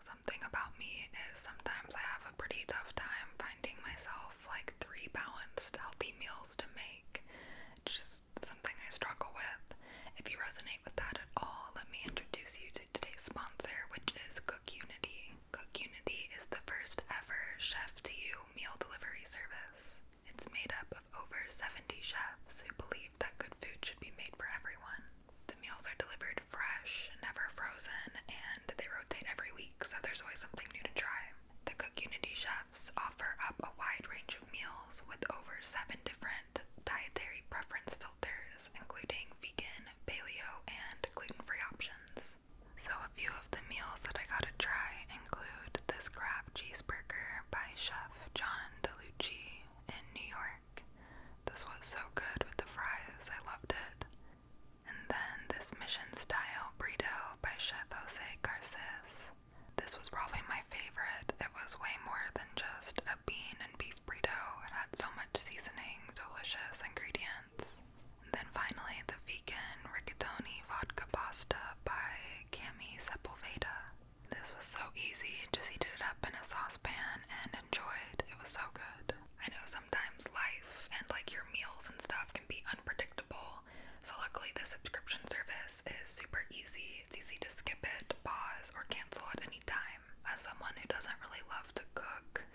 So something about me is sometimes I have a pretty tough time finding myself like three balanced healthy meals to make. It's just something I struggle with. If you resonate with that at all, let me introduce you to today's sponsor, which is Cook Unity. Cook Unity is the first ever chef to you meal delivery service. It's made up of over 70 chefs who believe that good food should be made for everyone. The meals are delivered fresh, never frozen, and they rotate every week, so there's always something new to try. The Cook Unity chefs offer up a wide range of meals with over seven different dietary preference filters, including vegan, paleo, and gluten free options. So, a few of the meals that I got to try include this crab cheeseburger by Chef John DeLucci in New York. This was so good with the fries, I loved it. And then this mission style burrito by Chef Jose Garces. This was probably my favorite. It was way more than just a bean and beef burrito. It had so much seasoning, delicious ingredients. And then finally, the vegan rigatoni vodka pasta by Cami Sepulveda. This was so easy, just heated it up in a saucepan and enjoyed. It was so good. I know sometimes life and like your meals and stuff can be unpredictable. So luckily the subscription service is super easy. It's easy to skip it, pause, or cancel at any time. As someone who doesn't really love to cook,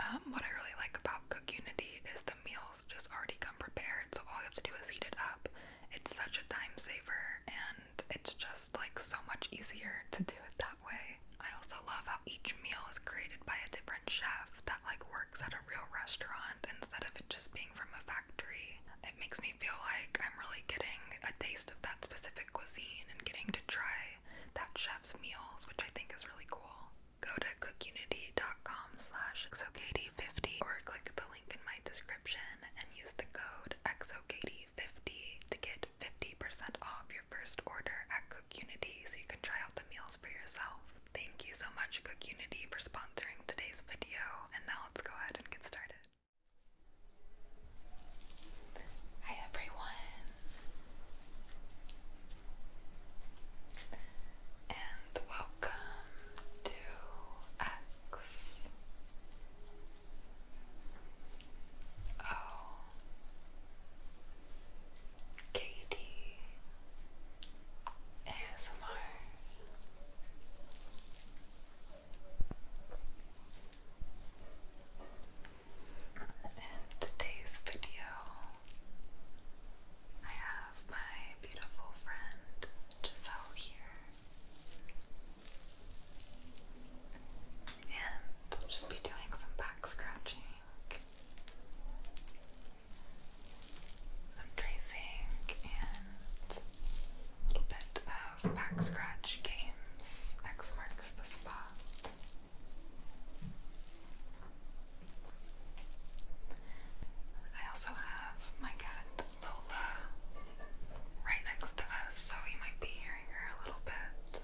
um, what I really like about Cook Unity is the meals just already come prepared, so all you have to do is heat it up. It's such a time saver and it's just like so much easier to do it that way. I also love how each meal is created by a different chef that like works at a real restaurant instead of it just being from a factory. It makes me feel like I'm really getting a taste of that specific cuisine and getting to try that chef's meals, which I think is really cool. Go to cookunity.com slash xokatie50 or click the link in my description and use the code xokatie 50 to get 50% off your first order at CookUnity so you can try out the meals for yourself. Thank you so much, CookUnity, for sponsoring today's video, and now let's go ahead and get started. Hi everyone! And welcome to X Oh, Katie ASMR. In today's video, I have my beautiful friend Giselle here. And just be doing some back scratching, some tracing, and a little bit of back scratch games. X marks the spot. I also have my cat Lola right next to us, so you might be hearing her a little bit.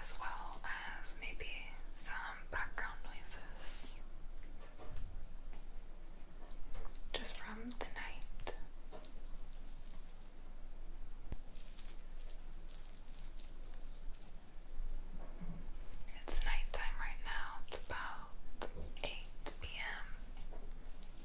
As well as maybe some background noises just from the night. It's nighttime right now, it's about 8 p.m.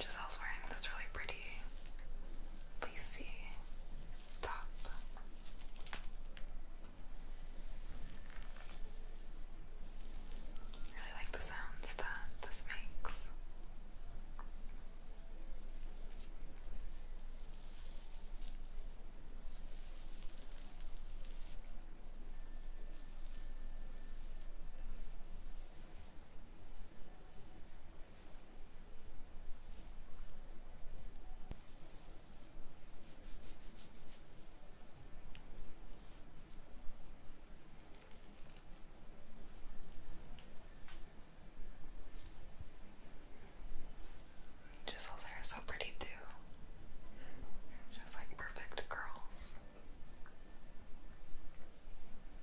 Giselle's wearing this really pretty lacy top. really like the sounds that this makes. Giselle's hair is so pretty too. Just like perfect curls.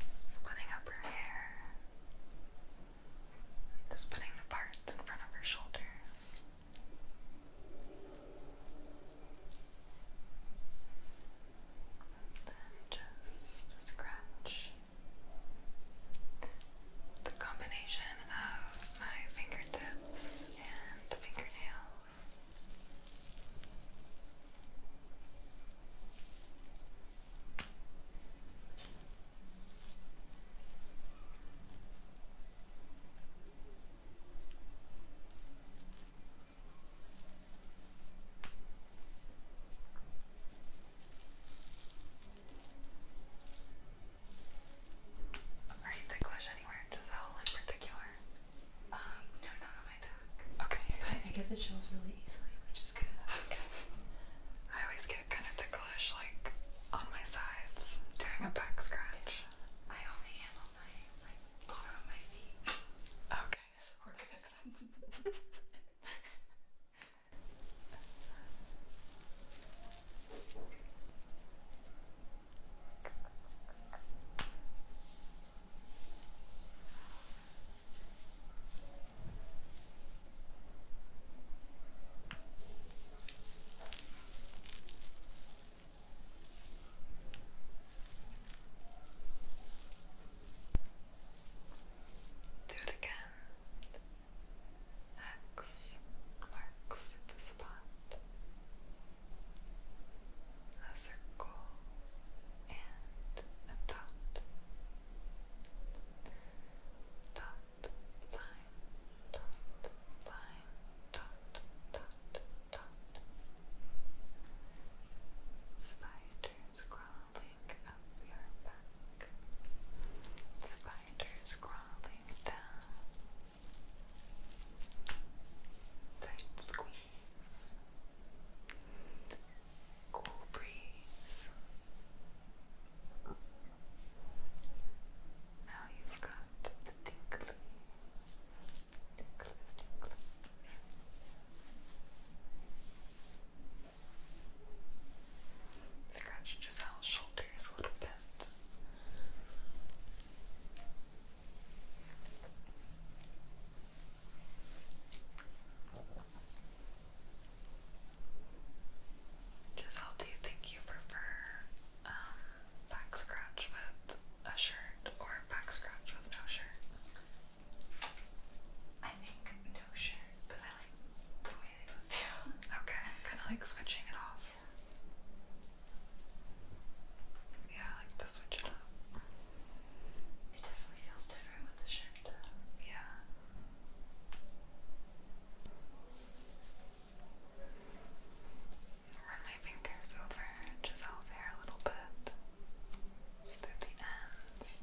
splitting up her hair, just putting the parts in front of her shoulders. then just scratch the combination of my fingertips and fingernails. Are you ticklish anywhere? Does that in particular? Um, no, not on my back. Okay. I guess it chills really easily, just I always get kind of ticklish like on my sides doing a back scratch. I only am my like bottom of my feet. Okay, so makes sense. Do it again. X marks the spot. A circle and a dot dot line dot line dot dot dot spiders crawling up your back spiders crawling down tight squeeze cool breeze. Now you've got the tinkly, tinkly, tinkly. Scratch Giselle's shoulders a little bit. Giselle, do you think you prefer um, back scratch with a shirt or back scratch with no shirt? I think no shirt, but I like the way they both okay, kind of like switching it off. Yeah. like to switch it up. It definitely feels different with the shirt and uh, yeah. Run my fingers over Giselle's hair a little bit, through the ends.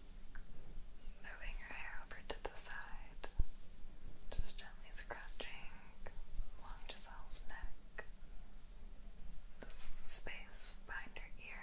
Moving your hair over to the side, just gently scratching along Giselle's neck, the space behind her ear.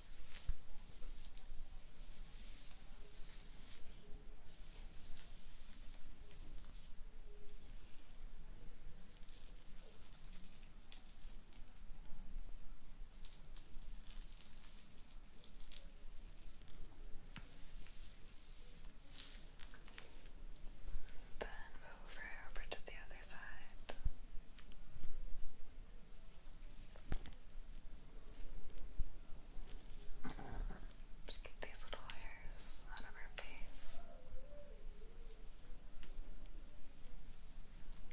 Then move her over to the other side. Just get these little hairs out of her face.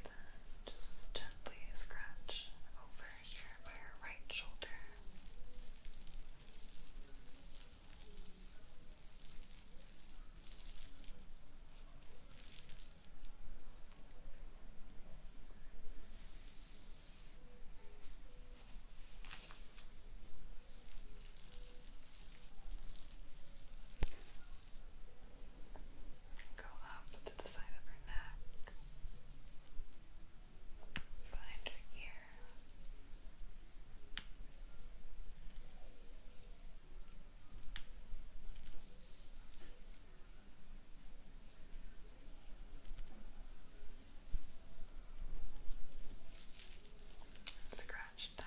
Then just gently scratch over here by her right shoulder. Go up to the side of her neck, behind her ear. Scratch down.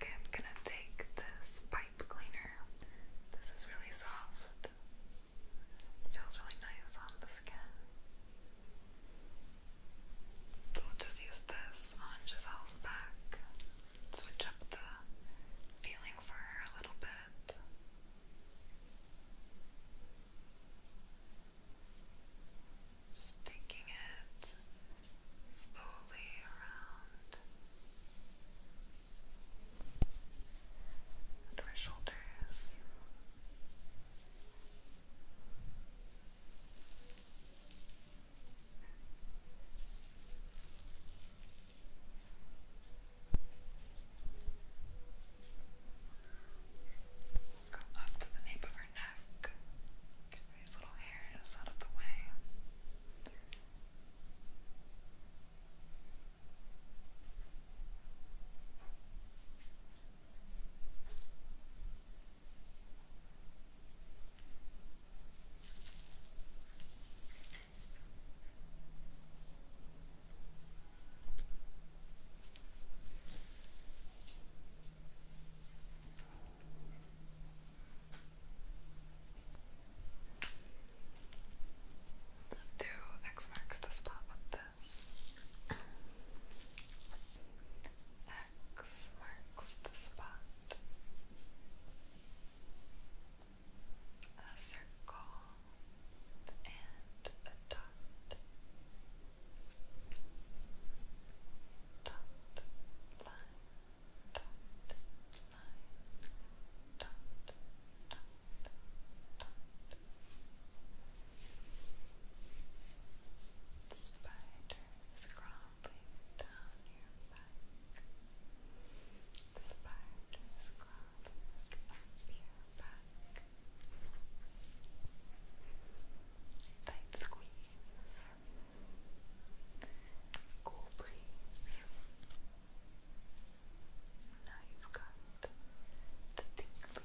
Okay, I'm going to take this pipe cleaner. This is really soft. feels really nice on the skin. just use this on Giselle's back switch up the feeling for her a little bit. Just it slowly around under her shoulders. Go up to the nape of her neck. Get these little hairs out of the way. Let's do X marks the spot with this marks the spot. A circle and a dot. Dot line. Dot line. Dot dot dot. Spiders crawling Pumping Tight squeeze. Cool breeze. Now you've got the tingly, tingly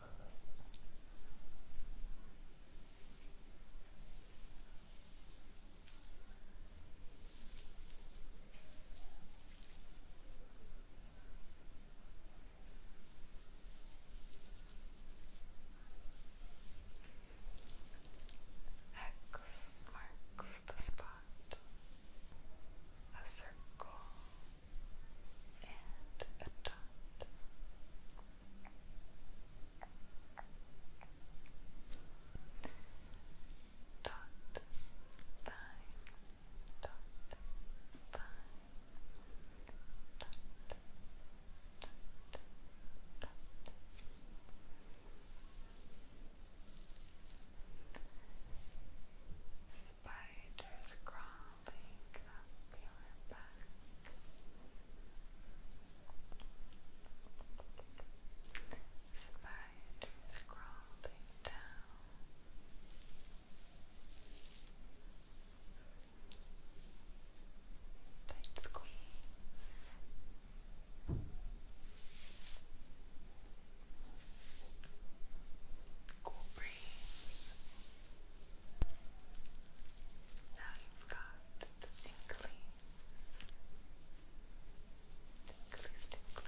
X marks the spot. A circle and a dot. Dot line, dot line, dot, dot, dot, dot. So spiders crawling up your back. Spiders crawling down. Tight squeeze. Cool breeze breeze. Now you've got the tinglies, tinglies, tinglies.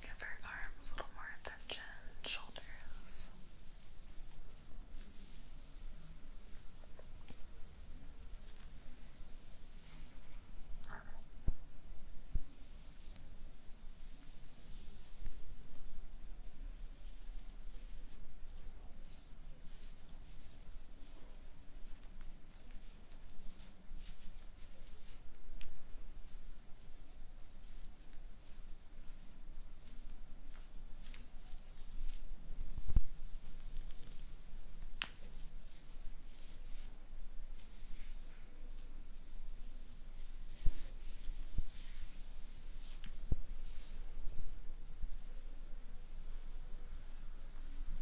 Cover arms a little more arms and shoulders.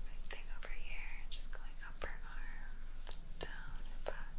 Same thing over here, just going up arm, down her back.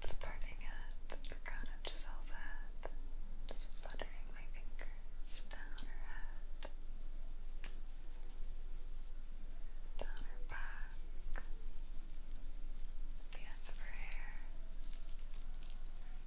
Starting at the crown of Giselle's head, just fluttering my fingers down her head, down her back, the her hair,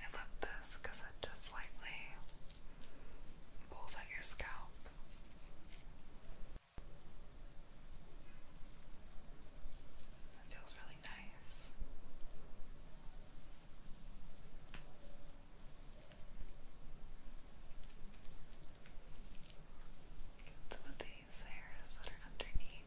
I love this because it just slightly pulls at your scalp. It feels really nice. Get some of the these hairs that are underneath.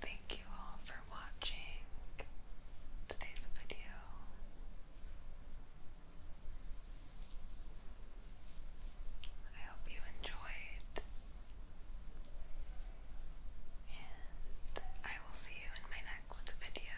Thank you all for watching today's video. I hope you enjoyed, and I will see you in my next video.